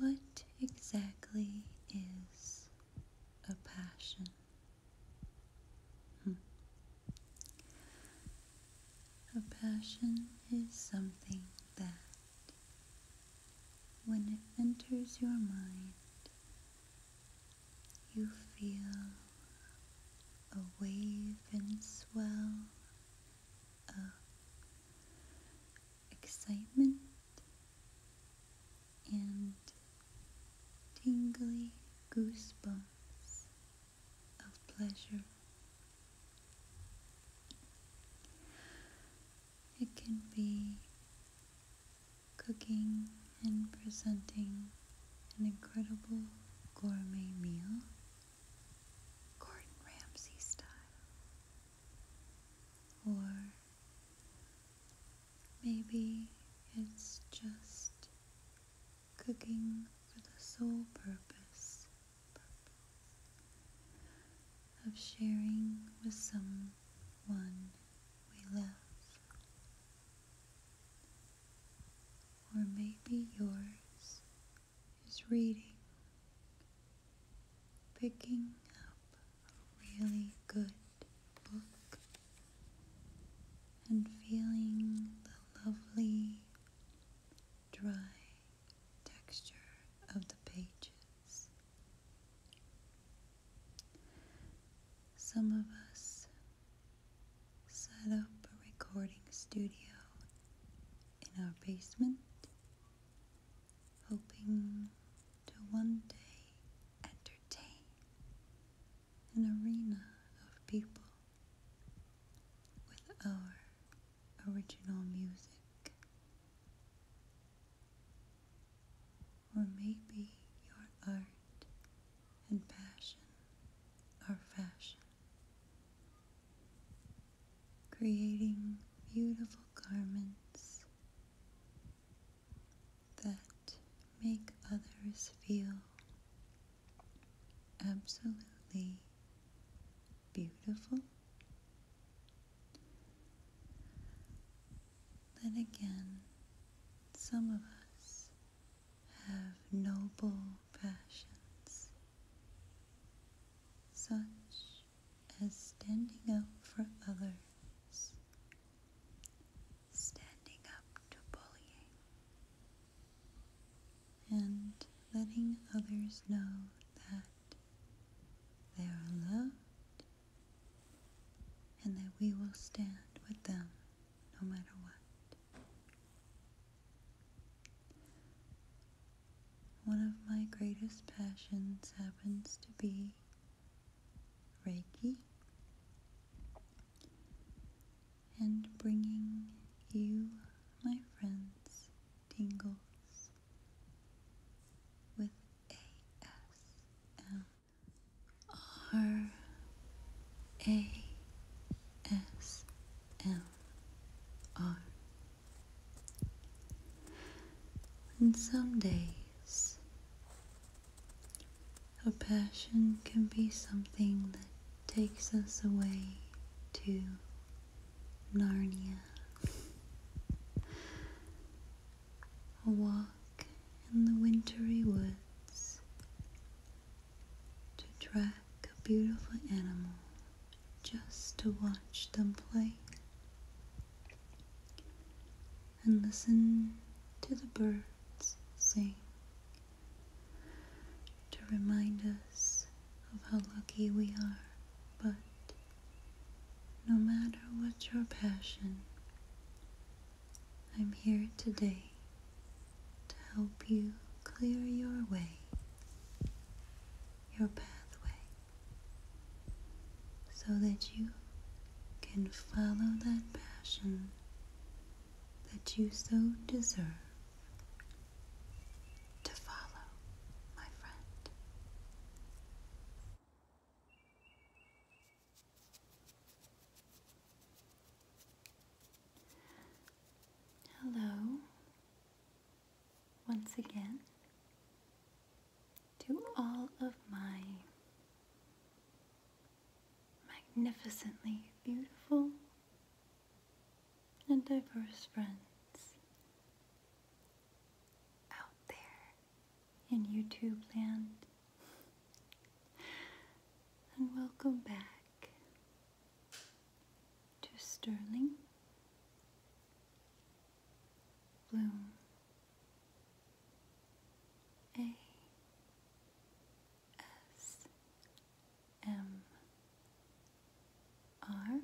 What exactly is a passion? Hmm. A passion is something that, when it enters your mind, you feel a wave and swell uh, excitement and tingly goosebumps of pleasure. It can be cooking and presenting an incredible gourmet meal Gordon Ramsay style. Or maybe it's just cooking for the sole purpose, purpose of sharing with someone we love. Or maybe yours is reading, picking up a really good book, and feeling the lovely dry texture of the pages. Some of us set up a recording studio in our basement, hoping to one day entertain an arena of people with our original music. Or maybe your art and passion are fashion creating beautiful garments that make others feel absolutely beautiful. Then again, some of us have noble passions, such as standing up for others, standing up to bullying, and letting others know that they are loved and that we will stand with them no matter what. One of my greatest passions happens to be Reiki and bringing you, my friends, tingles with ASM are. And some days, a passion can be something that takes us away to Narnia. A walk in the wintry woods to track a beautiful animal just to watch them play and listen to the birds sing to remind us of how lucky we are. But no matter what your passion, I'm here today to help you clear your way, your pathway, so that you can follow that passion that you so deserve. Hello, once again, to all of my magnificently beautiful and diverse friends out there in YouTube land. And welcome back to Sterling, Bloom, A, S, M, R.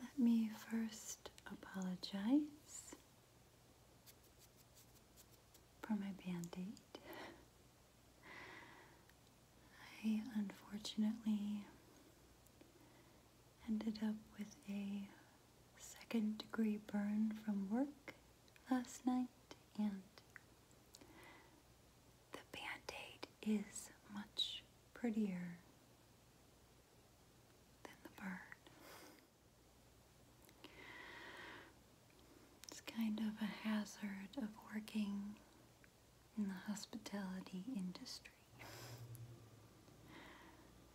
Let me first apologize for my band-aid. I unfortunately ended up with a second degree burn from work last night and the band is much prettier than the burn. It's kind of a hazard of working in the hospitality industry,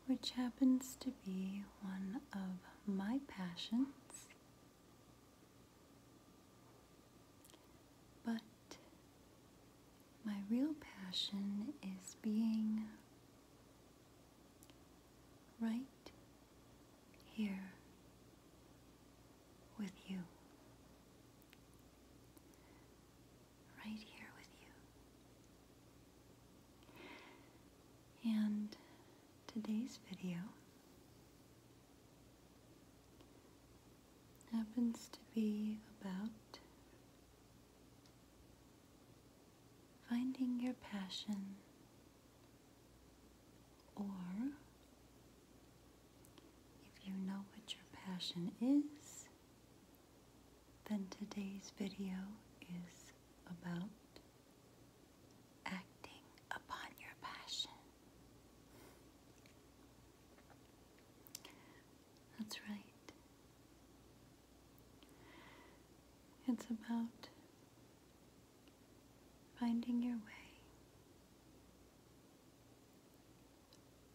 which happens to be one of my passions. But my real passion is being right here with you. Right here with you. And today's video happens to be about finding your passion, or if you know what your passion is, then today's video is about acting upon your passion. That's right. It's about finding your way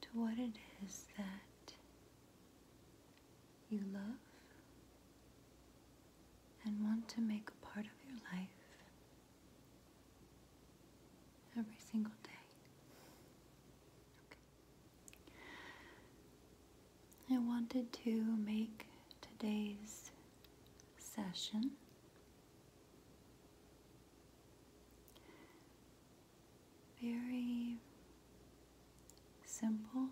to what it is that you love and want to make a part of your life every single day. I wanted to make today's session very simple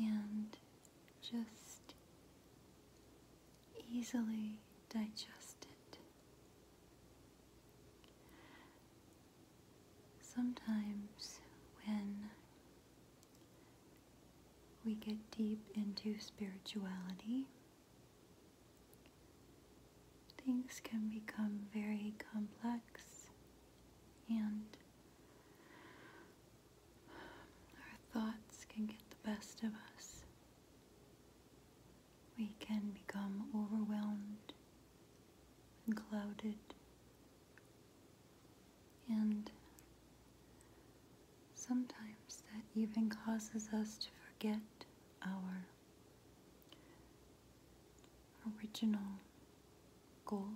and just easily digested. Sometimes when we get deep into spirituality, things can become very complex and our thoughts can get the best of us. We can become overwhelmed and clouded and sometimes that even causes us to forget our original goal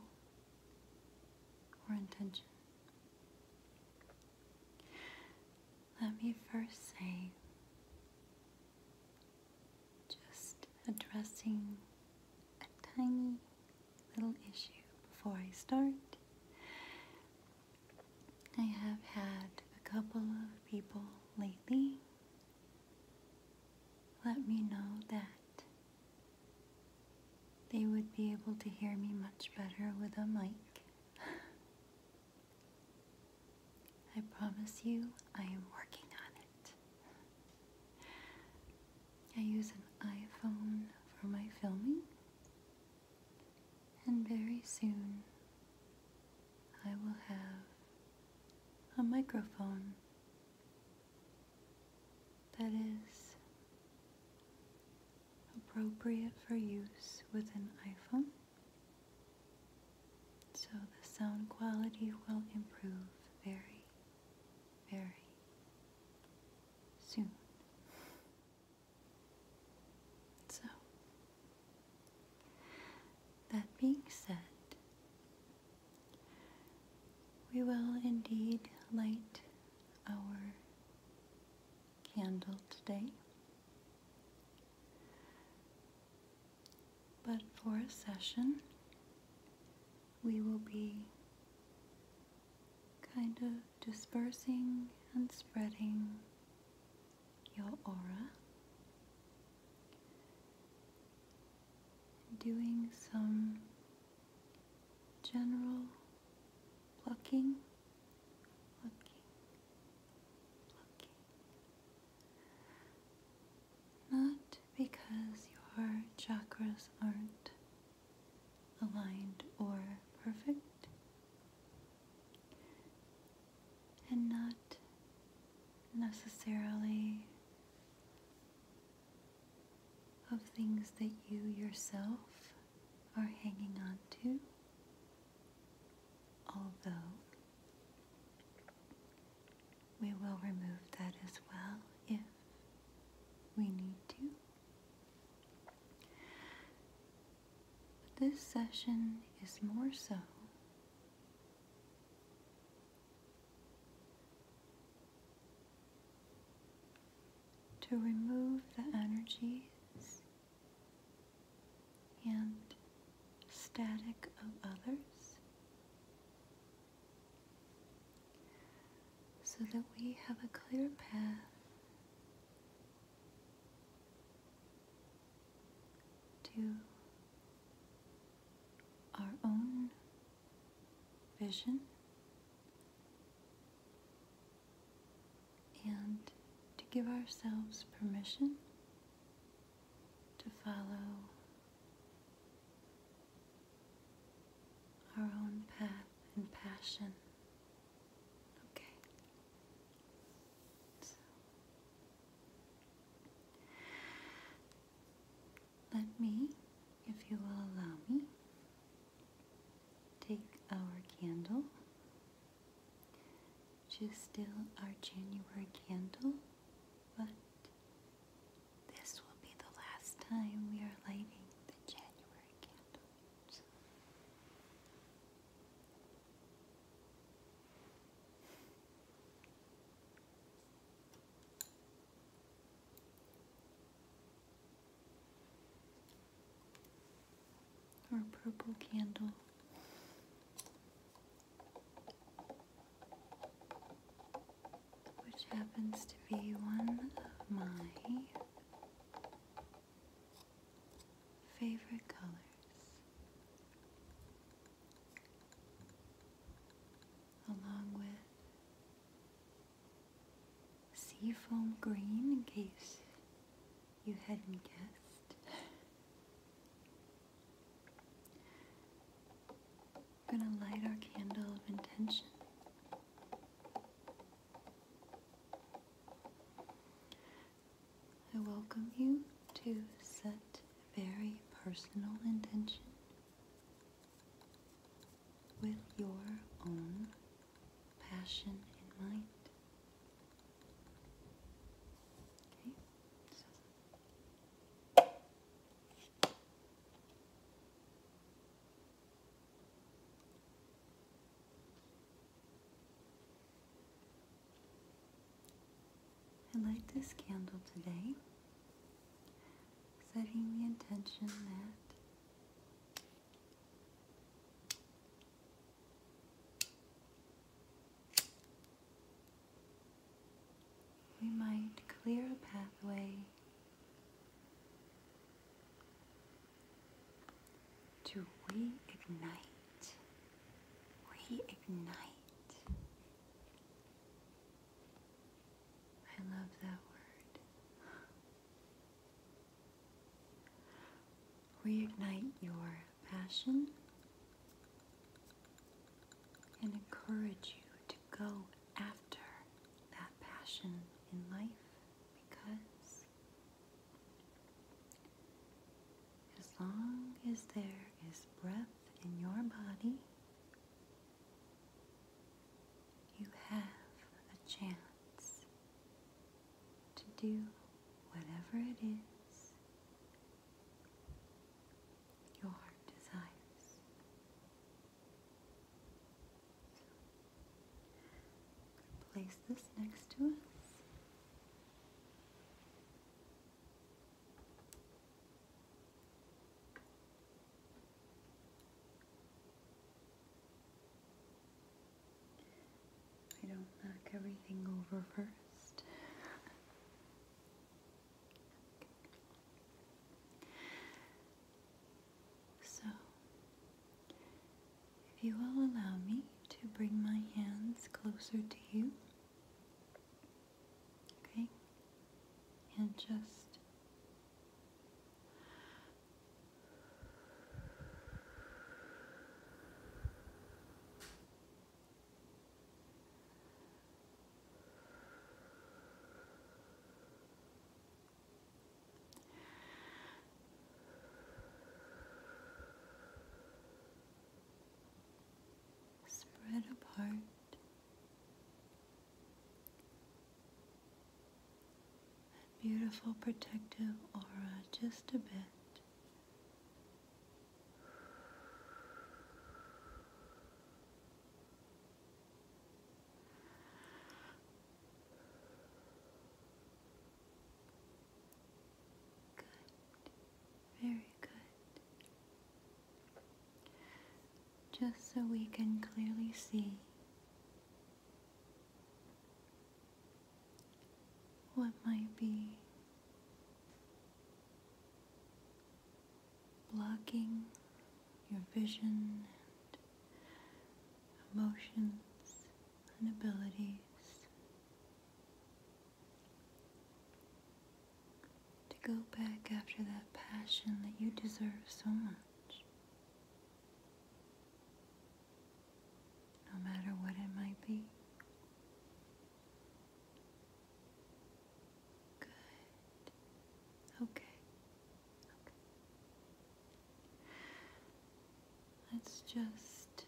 or intention. Let me first say just addressing a tiny little issue before I start. I have had a couple of people lately let me know that they would be able to hear me much better with a mic. I promise you, I am working on it. I use an iPhone for my filming, and very soon I will have a microphone that is appropriate for use with an iPhone. So the sound quality will improve very, very soon. So, that being said, we will indeed light our candle today. But for a session, we will be kind of dispersing and spreading your aura, doing some general plucking, plucking, not because your chakras aren't aligned or perfect, and not necessarily of things that you yourself are hanging on to, although we will remove that as well if we need to. But this session is more so to remove the energies and static of others so that we have a clear path to our own vision and to give ourselves permission to follow our own path and passion. Okay. Let me, if you will allow me, take our candle, which is still our January candle. But this will be the last time we are lighting the January candles. Or purple candle which happens to be one of my favorite colors, along with seafoam green, in case you hadn't guessed. We're going to light our candle of intention. I welcome you to set a very personal intention with your own passion in mind. Okay, I light this candle today, setting the intention that we might clear a pathway to reignite, reignite. I love that word. Reignite your passion and encourage you to go after that passion in life because as long as there is breath in your body, you have a chance to do whatever it is your heart desires. place this next to us. I don't knock everything over first. So, if you will allow me to bring my hands closer to you, okay, and just Spread apart. That beautiful protective aura just a bit Good. Very good. Just so we can clearly see what might be blocking your vision and emotions and abilities to go back after that passion that you deserve so much, no matter what it might be. Good. Okay. Let's just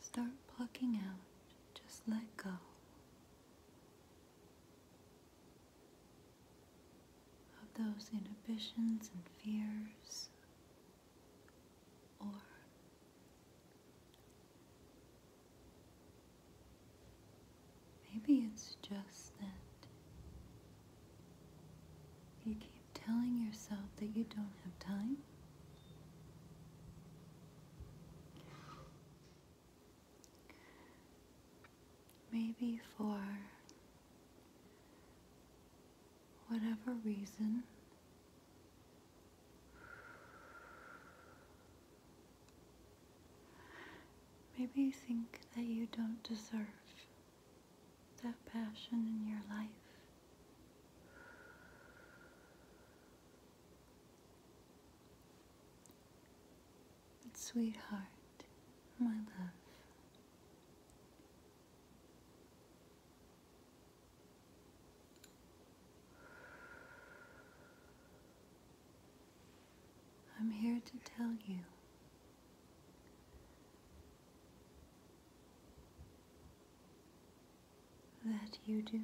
start plucking out. Just let go. Of those inhibitions and fears or maybe it's just that you keep telling yourself that you don't have time. Maybe for whatever reason, maybe you think that you don't deserve that passion in your life. But sweetheart, my love. I'm here to tell you that you do.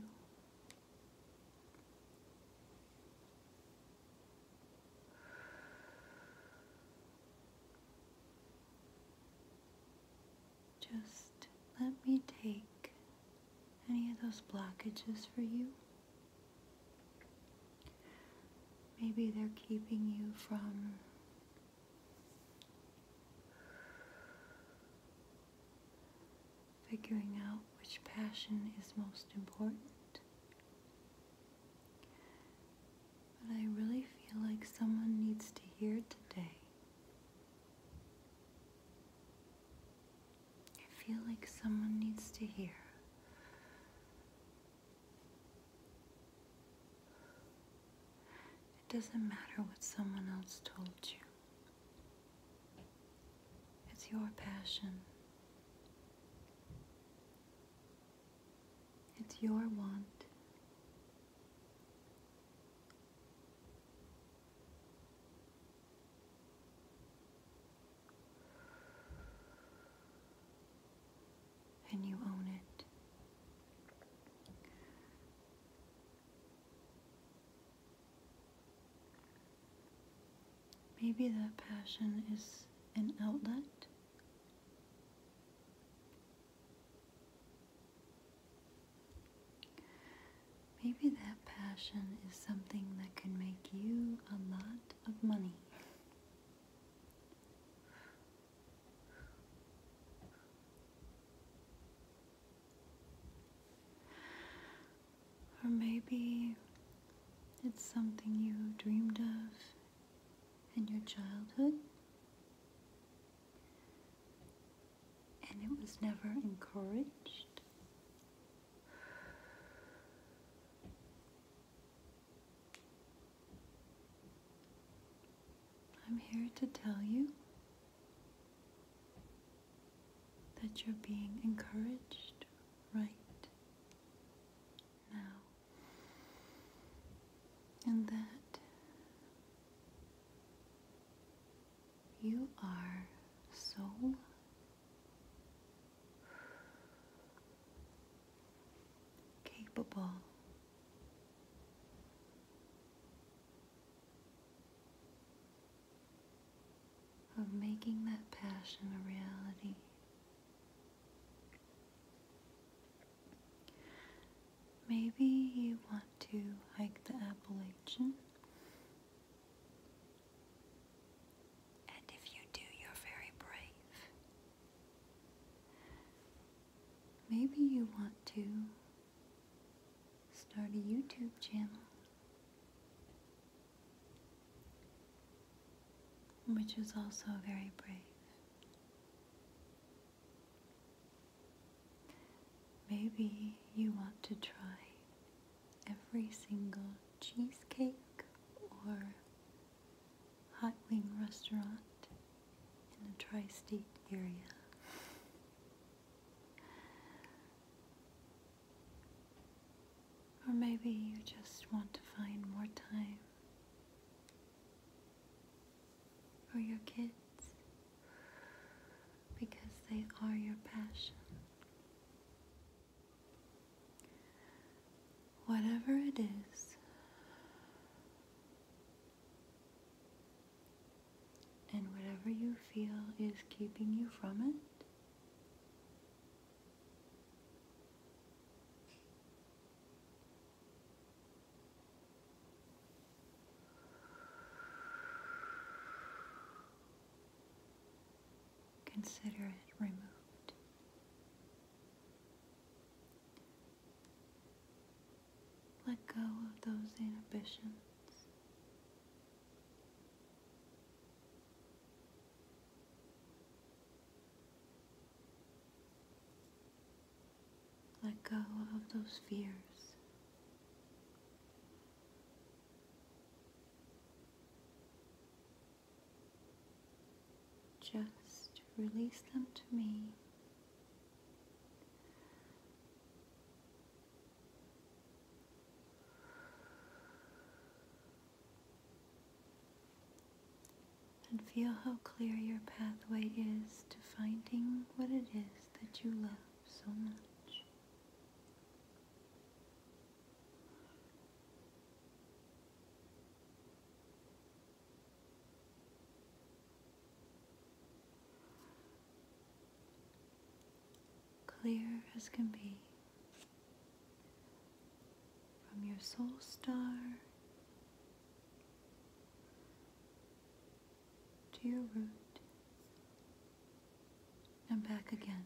Just let me take any of those blockages for you. Maybe they're keeping you from figuring out which passion is most important but I really feel like someone needs to hear today. I feel like someone needs to hear. It doesn't matter what someone else told you. It's your passion. It's your want. And you own it. Maybe that passion is an outlet Maybe that passion is something that can make you a lot of money. Or maybe it's something you dreamed of in your childhood, and it was never encouraged. I'm here to tell you that you're being encouraged right now and that you are so capable. Of making that passion a reality. Maybe you want to hike the Appalachian? And if you do, you're very brave. Maybe you want to start a YouTube channel, which is also very brave. Maybe you want to try every single cheesecake or hot wing restaurant in the tri state area. Or maybe you just want to find more time for your kids because they are your passion. Whatever it is, and whatever you feel is keeping you from it, Consider it removed. Let go of those inhibitions. Let go of those fears. Just release them to me. And feel how clear your pathway is to finding what it is that you love so much. Clear as can be from your soul star to your root and back again.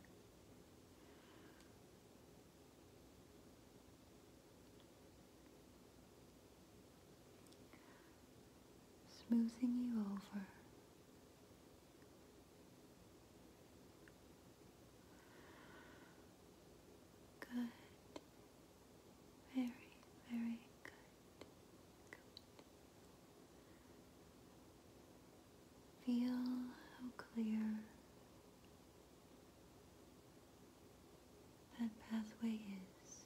Smoothing you over. Good. Very, very good. Feel how clear that pathway is.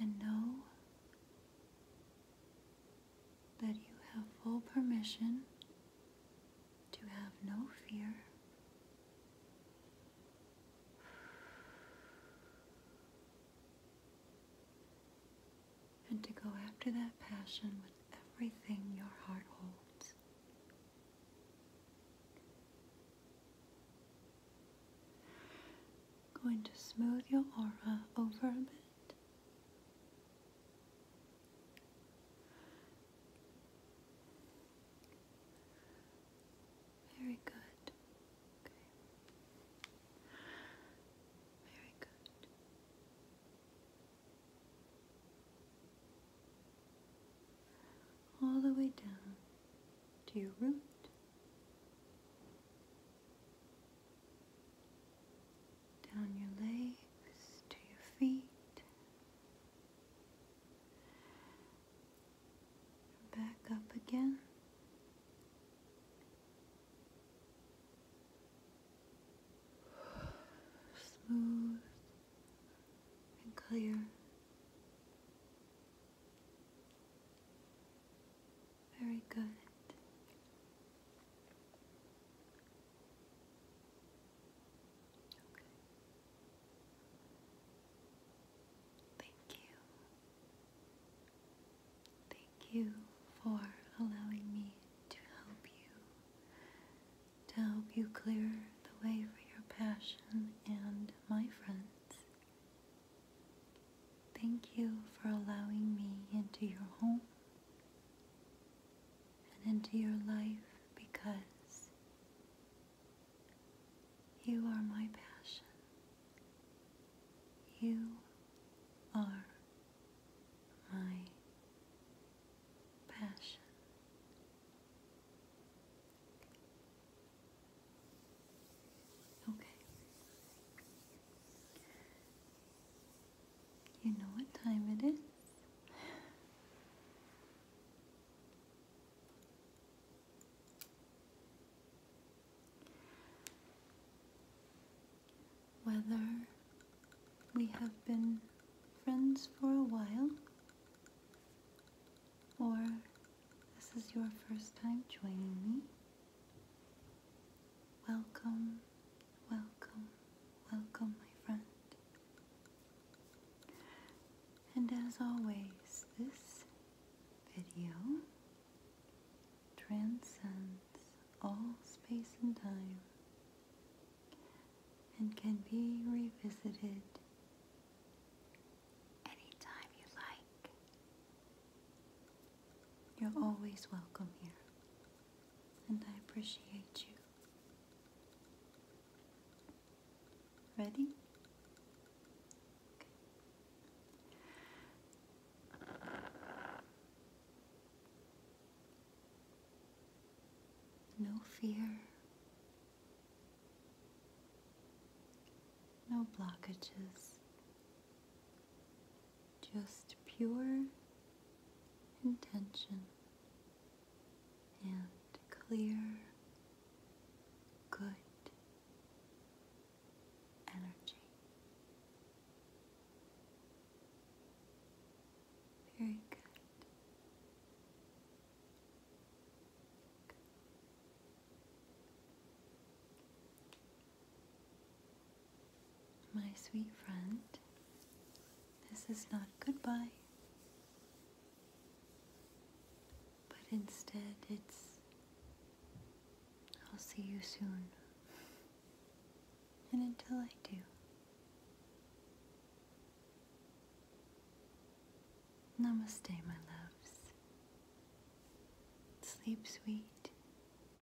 And know that you have full permission to have no fear. And to go after that passion with everything your heart holds. Going to smooth your aura over a bit very good. Okay. Very good. All the way down to your root down your legs to your feet, back up again. Smooth and clear. Very good. Thank you. Thank you for allowing me to help you, to help you clear the way for your passion and my friends. Thank you for allowing me into your home and into your life because you are my passion. You are my passion. Okay. You know what time it is? Whether we have been friends for a while or this is your first time joining me, welcome Welcome, welcome, my friend. And as always, this video transcends all space and time and can be revisited anytime you like. You're always welcome here and I appreciate you. Ready? No fear, no blockages, just pure intention and clear, good energy. Very good. My sweet friend, this is not goodbye, but instead it's I'll see you soon. And until I do, Namaste, my loves. Sleep sweet.